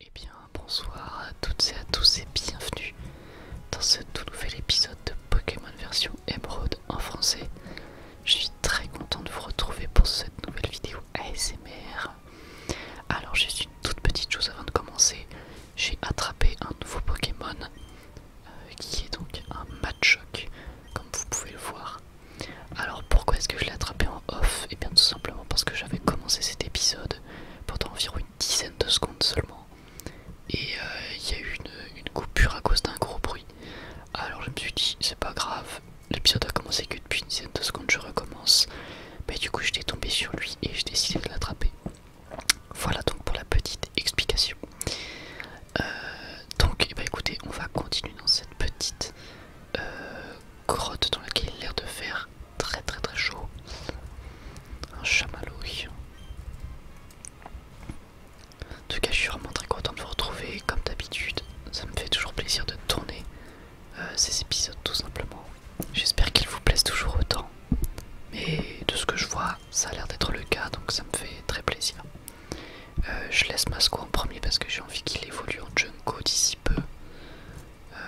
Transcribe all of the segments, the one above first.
Eh bien, bonsoir à toutes et à tous et bienvenue dans ce tout nouvel épisode de Pokémon version Emerald en français. Je suis très content de vous retrouver pour cette nouvelle vidéo ASMR. Alors, juste une toute petite chose avant de commencer. J'ai attrapé un nouveau Pokémon euh, qui est donc un match choc, comme vous pouvez le voir. Alors pourquoi est-ce que je l'ai attrapé en off Et eh bien tout simplement parce que j'avais commencé cet épisode pendant environ une dizaine de secondes seulement. Et euh, il y a eu une, coupure à cause d'un gros bruit. Alors je me suis dit c'est pas grave, l'épisode a commencé que depuis une dizaine de secondes je recommence. Mais du coup j'étais tombé sur lui et j'ai décidé de l'attraper. Voilà donc pour la petite explication. Euh, donc eh ben, écoutez, on va continuer dans cette petite euh, grotte dans laquelle il a l'air de faire très très très chaud. Un chamallow. En tout cas, je suis vraiment très content de vous retrouver comme d'habitude. Ça me fait toujours plaisir de tourner euh, ces épisodes tout simplement. J'espère qu'ils vous plaisent toujours autant. Mais de ce que je vois, ça a l'air d'être le cas, donc ça me fait très plaisir. Euh, je laisse Masco en premier parce que j'ai envie qu'il évolue en Junko d'ici peu. ah,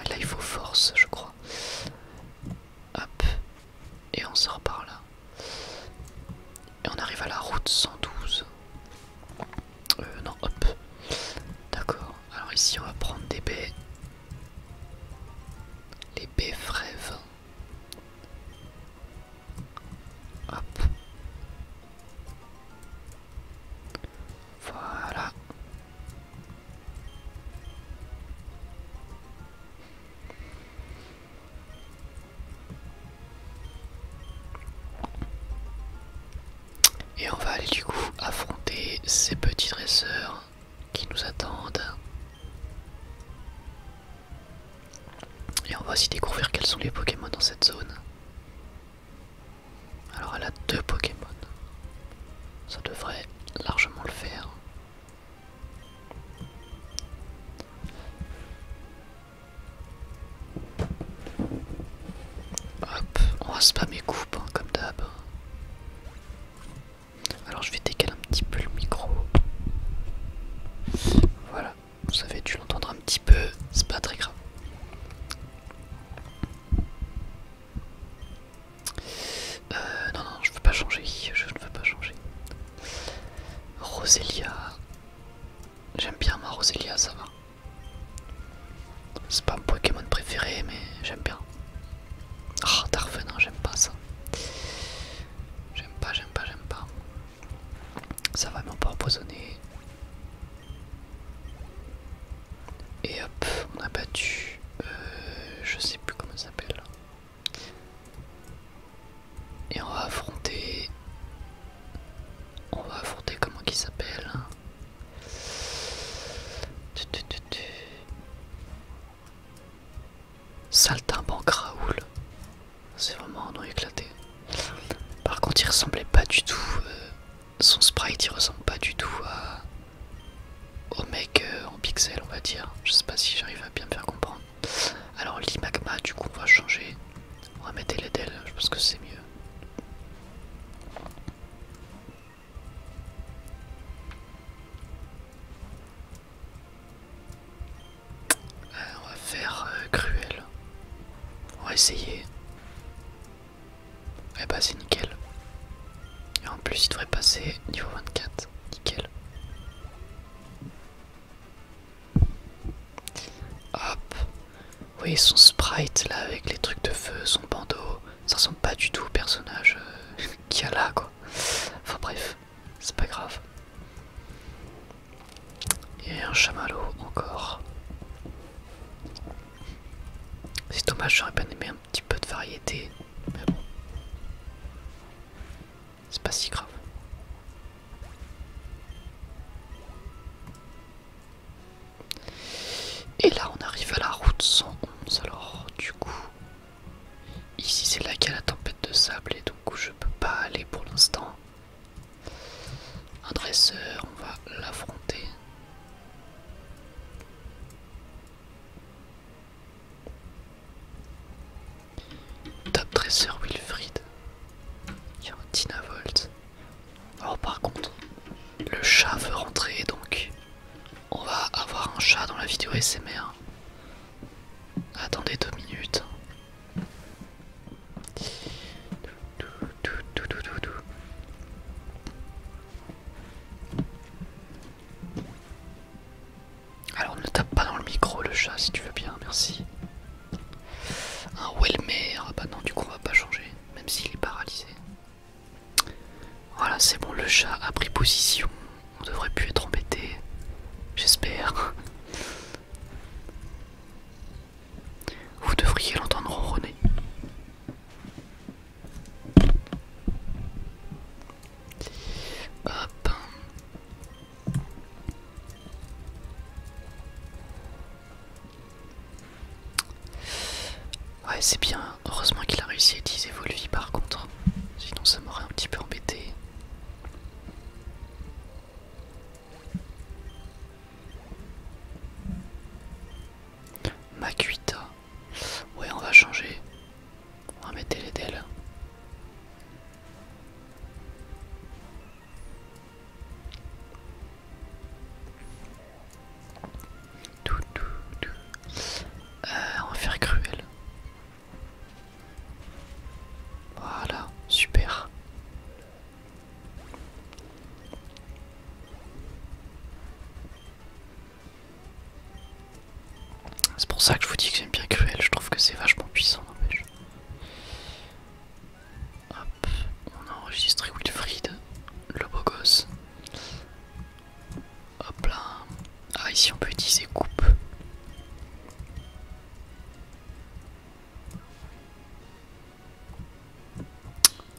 euh, là il faut force, je crois. Hop, et on sort par là. Et on arrive à la route 112. Euh, non, hop. D'accord, alors ici on va prendre des baies les beffraies Voilà. Et on va aller du coup affronter ces petits dresseurs qui nous attendent. Et on va aussi découvrir quels sont les Pokémon dans cette zone. Alors elle a deux Pokémon. Ça devrait largement le faire. Hop, on va spammer coupe hein, comme d'hab. Alors je vais décaler un petit peu le micro. Voilà, vous savez tu l'entendras un petit peu, c'est pas très grave. Euh, non, non, je veux pas changer, je ne veux pas changer. Roselia. J'aime bien ma Roselia, ça va. C'est pas mon Pokémon préféré, mais j'aime bien. Ah, oh, Non, j'aime pas ça. J'aime pas, j'aime pas, j'aime pas. Ça va, m'empoisonner. pas Et hop, on a battu. Euh, je sais plus comment ça s'appelle. Et on va affronter. On va affronter comment qui s'appelle. Hein. Saltimbanque Raoul. C'est vraiment un nom éclaté. Par contre, il ressemblait pas du tout. Euh, son sprite, il ressemble pas du tout à, au mec euh, en pixel, on va dire. Je sais pas si j'arrive à bien faire comprendre. Alors, l'imagma, du coup, on va changer. On va mettre les je pense que c'est mieux. Euh, on va faire euh, cruel. On va essayer. Et eh bah c'est nickel. Et en plus il devrait passer niveau 24. Nickel. Hop. vous voyez son sprite là avec les trucs de feu, son bandeau. Ça ressemble pas du tout au personnage qui euh, qu'il y a là quoi. Enfin bref, c'est pas grave. Et un chamallow encore. C'est dommage, j'aurais bien aimé un petit peu de variété, mais bon. C'est pas si grave. Et là on arrive à la route 111 alors du coup Ici c'est là qu'il y a la tempête de sable et donc je peux pas aller pour l'instant. Un dresseur, on va l'affronter. Top dresseur Wilfried. Il y a par contre, le chat veut rentrer donc on va avoir un chat dans la vidéo SMR. Attendez deux minutes. Alors ne tape pas dans le micro le chat si tu veux bien, merci. Un Welmer, ah bah non du coup on va pas changer, même s'il est paralysé. Voilà, c'est bon, le chat a pris position. On devrait plus être embêté. J'espère. Vous devriez l'entendre ronronner. Hop. Ouais, c'est bien. Heureusement qu'il a réussi à utiliser Volvi par contre, sinon ça m'aurait un petit peu embêté. Makuita. Ouais, on va changer. On va mettre les del. Tout, tout, tout. Euh, on va faire cruel. Voilà, super. C'est pour ça que je vous dis que j'aime bien cruel, je trouve que c'est vachement puissant on a enregistré Wilfried, le beau gosse. Hop là. Ah, ici on peut utiliser coupe.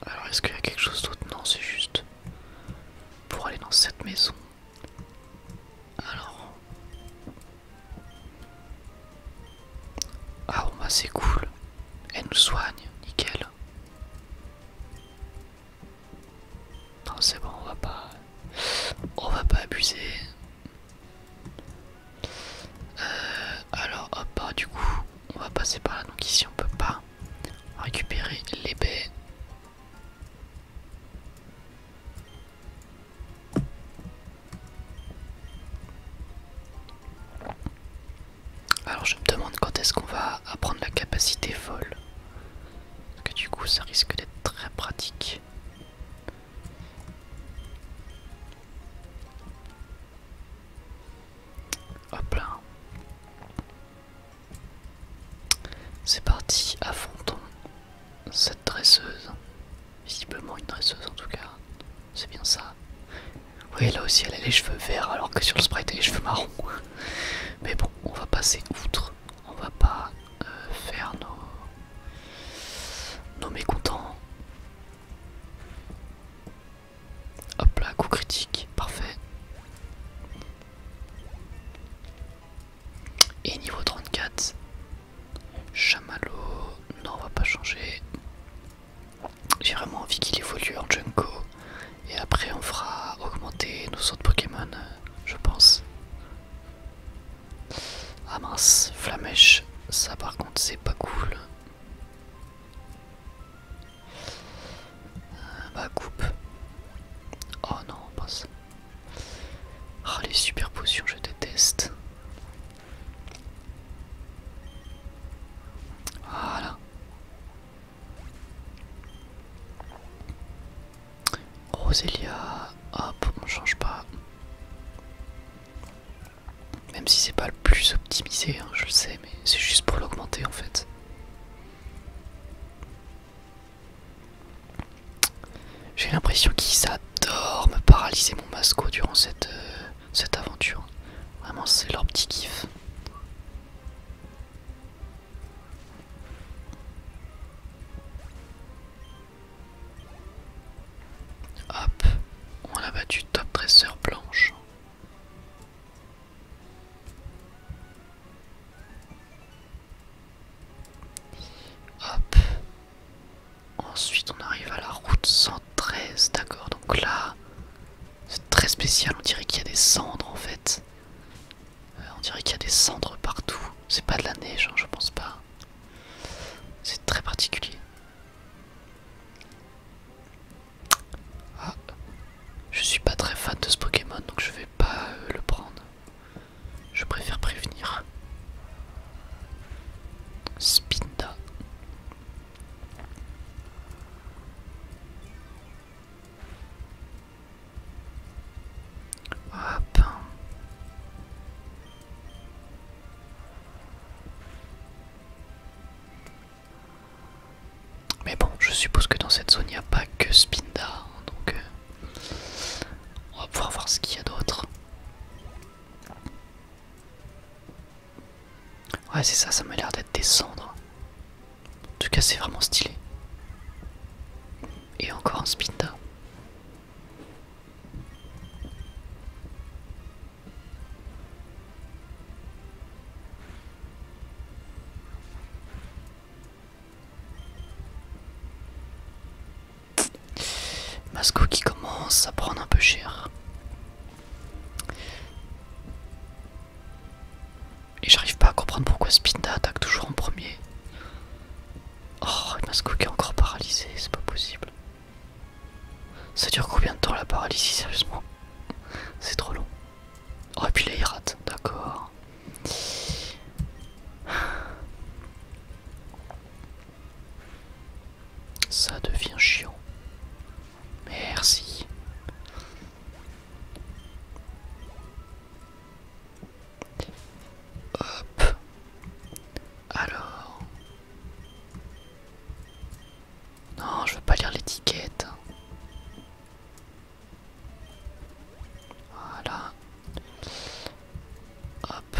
Alors, est-ce qu'il y a quelque chose d'autre Non, c'est juste pour aller dans cette maison. Alors. Ah, bah, c'est cool. Elle nous soigne, nickel. Non c'est bon on va pas on va pas abuser euh, alors hop bah, du coup on va passer par là donc ici on peut pas récupérer les baies alors je me demande quand est-ce qu'on va apprendre la capacité folle que du coup ça risque d'être très pratique. Hop là. C'est parti, à affrontons cette dresseuse. Visiblement une dresseuse en tout cas. C'est bien ça. Oui, là aussi elle a les cheveux verts alors que sur le sprite elle a les cheveux marrons. Mais bon, on va passer outre. On va pas euh, faire nos... nos mécontents. Hop là, coup critique, parfait. Et niveau 34, chamallow, non on va pas changer. J'ai vraiment envie qu'il évolue en Junko et après on fera augmenter nos autres Pokémon, je pense. Ah mince, Flamèche, ça par contre c'est pas cool. Euh, bah coupe. Oh non, passe. Ah, les super potions, je déteste. Voilà. Roselia, hop, on change pas. Même si c'est pas le plus optimisé, hein, je le sais, mais c'est juste pour l'augmenter en fait. J'ai l'impression qu'ils adorent me paralyser mon masco durant cette, euh, cette aventure. Vraiment, c'est leur petit kiff. Hop, on a battu top dresseur blanche. Hop. Ensuite on arrive à la route 113, d'accord, donc là c'est très spécial, on dirait qu'il y a des cendres en fait. Euh, on dirait qu'il y a des cendres partout. C'est pas de la neige, hein, je pense pas. C'est très particulier. Ah, je suis pas très fan de ce Pokémon, donc je vais pas euh, le prendre. Je préfère prévenir. Spinda. Hop. Mais bon, je suppose que dans cette zone, il n'y a pas que Spinda, hein, donc euh, on va pouvoir voir ce qu'il y a d'autre. Ouais, c'est ça, ça m'a l'air d'être des cendres. En tout cas, c'est vraiment stylé. Et encore un Spinta. Masco qui commence à prendre un peu cher. Et j'arrive pas à comprendre pourquoi Spinda attaque toujours en premier. Oh, m'a est encore paralysé, c'est pas possible. Ça dure combien de temps la paralysie, sérieusement C'est trop long. Oh, et puis là il d'accord. Ça devient chiant. Merci. Hop. Alors. Non, je veux pas lire l'étiquette. Voilà. Hop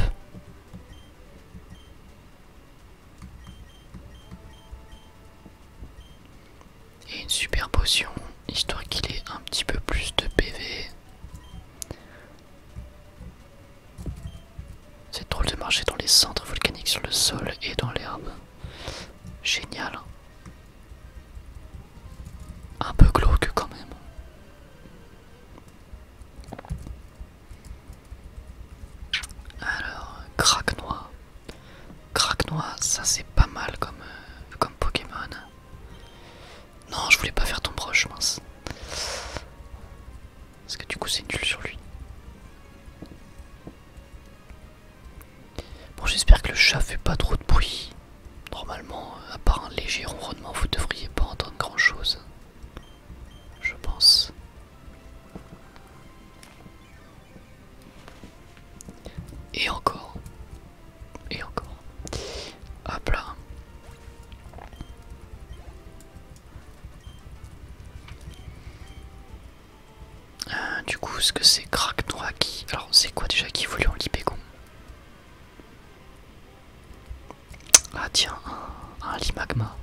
et une super potion histoire qu'il ait un petit peu plus de PV. C'est drôle de marcher dans les centres volcaniques sur le sol et dans l'herbe. Génial. Un peu glauque quand même. Alors, craque noir craque-noir ça c'est pas mal comme, euh, comme Pokémon. Non, je voulais pas faire ton broche, mince. Parce que du coup, c'est nul sur lui. Bon, j'espère que le chat fait pas trop de bruit. Normalement, euh, à part un léger ronronnement, vous devriez pas entendre grand chose. Je pense. Et encore. Et encore. Hop là. Euh, du coup, ce que c'est crack qui. Alors, c'est quoi déjà qui voulait en Libégon Ah, tiens, un, lit magma.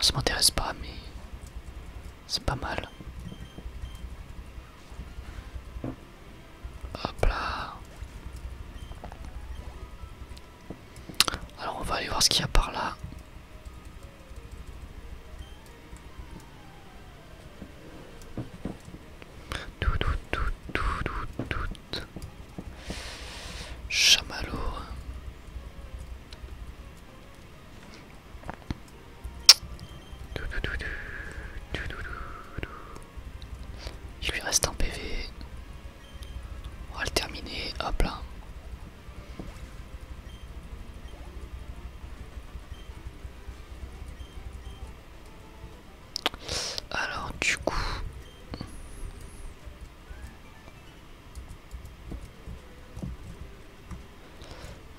ça m'intéresse pas, mais c'est pas mal. Hop là. Alors on va aller voir ce qu'il y a par là. Tout, tout, tout, tout, tout, il lui reste un PV. On va le terminer. Hop là. Alors du coup...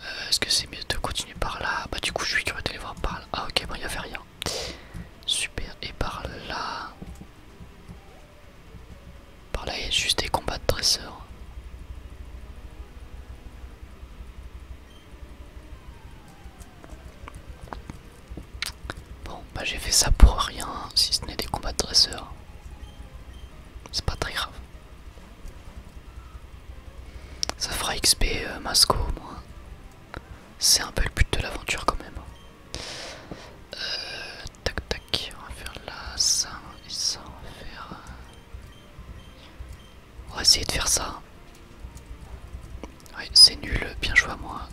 Euh, est-ce que c'est mieux de continuer par là Bah du coup je suis curieux les voir par là. Ah ok bon il n'y avait rien. Super et par là. Par là il y a juste des combats de dresseurs. Bon bah j'ai fait ça pour rien si ce n'est des combats de dresseurs. C'est pas très grave. Ça fera XP euh, Masco au moins. C'est un peu le but de l'aventure quand même. Euh, tac tac, on va faire là, ça et ça, on va euh, essayer de faire ça. c'est nul, bien joué à moi.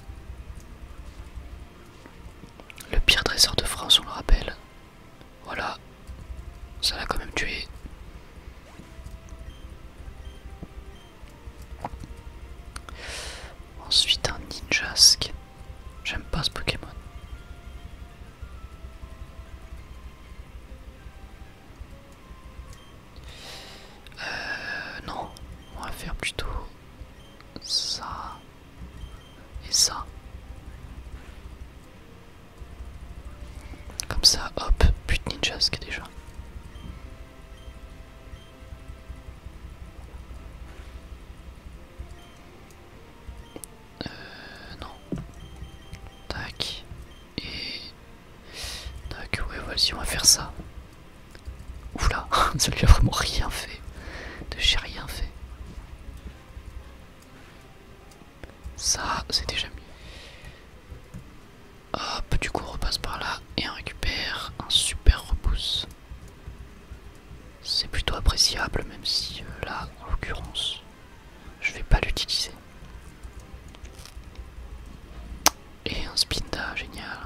Le pire dresseur de France, on le rappelle. Voilà. Ça l'a quand même tué. Ensuite un Ninjasque. J'aime pas ce Pokémon. Euh, non, on va faire plutôt ça et ça. Comme ça, hop, y ninjasque déjà. Euh, non. Tac. Et... Tac, ouais, vas-y, on va faire ça. Ouf là, ça lui a vraiment rien fait. De chez rien fait. Ça, c'est déjà mis. Hop, du coup, on repasse par là et on récupère un super repousse. C'est plutôt appréciable, même si euh, là, en l'occurrence, je vais pas l'utiliser. Et un spinda, génial.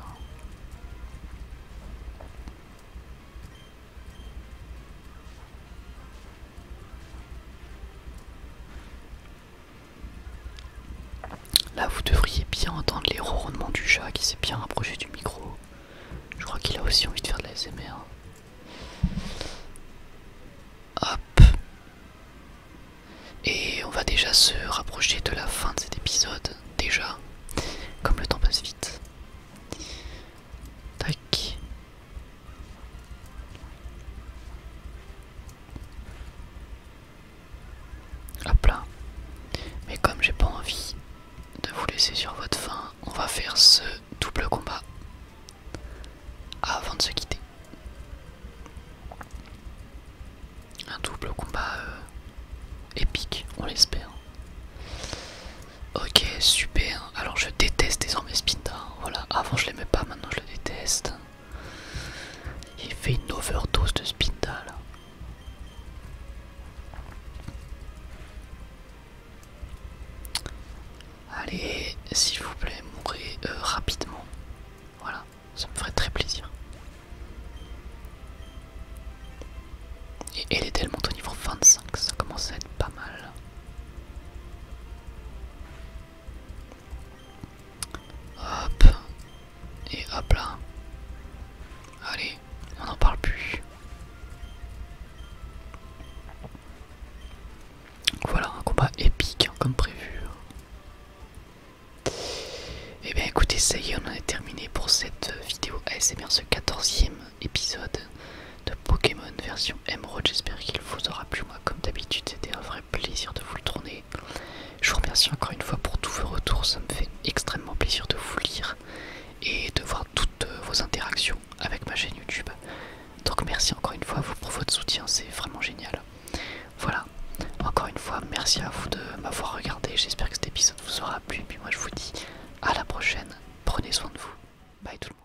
Là, vous devriez bien entendre les ronronnements du chat qui s'est bien rapproché du micro. Je crois qu'il a aussi envie de faire de la SMR. Hop. Et on va déjà se rapprocher de la fin de cet épisode. Déjà. Comme le temps passe vite. Tac. Hop là. Mais comme j'ai pas envie de vous laisser sur votre faim, on va faire ce double combat avant de se quitter. Un double combat euh, épique, on l'espère. Ok, super. Alors je déteste désormais Spinda. Hein. Voilà, avant je l'aimais pas, je le déteste. Il fait une overdose de spindle Allez, s'il vous plaît, mourrez euh, rapidement. Voilà, ça me ferait très plaisir. Et elle est tellement au niveau 25, ça commence à être pas mal. Hop. Et hop là. Allez, on n'en parle plus. Voilà, un combat épique hein, comme prévu. Et hein. eh bien écoutez, ça y est, on en est terminé pour cette euh, vidéo bien ce 14 épisode de Pokémon version Emerald. J'espère qu'il vous aura plu. Moi, comme d'habitude, c'était un vrai plaisir de vous le tourner. Je vous remercie encore une fois pour tous vos retours. Ça me fait extrêmement plaisir de vous lire et de voir toutes euh, vos interactions avec ma chaîne YouTube. Donc, merci encore une fois vous pour votre soutien. C'est vraiment génial. Voilà. Encore une fois, merci à vous de m'avoir regardé. J'espère que cet épisode vous aura plu. Et puis moi, je vous dis à la prochaine. Prenez soin de vous. Bye tout le monde.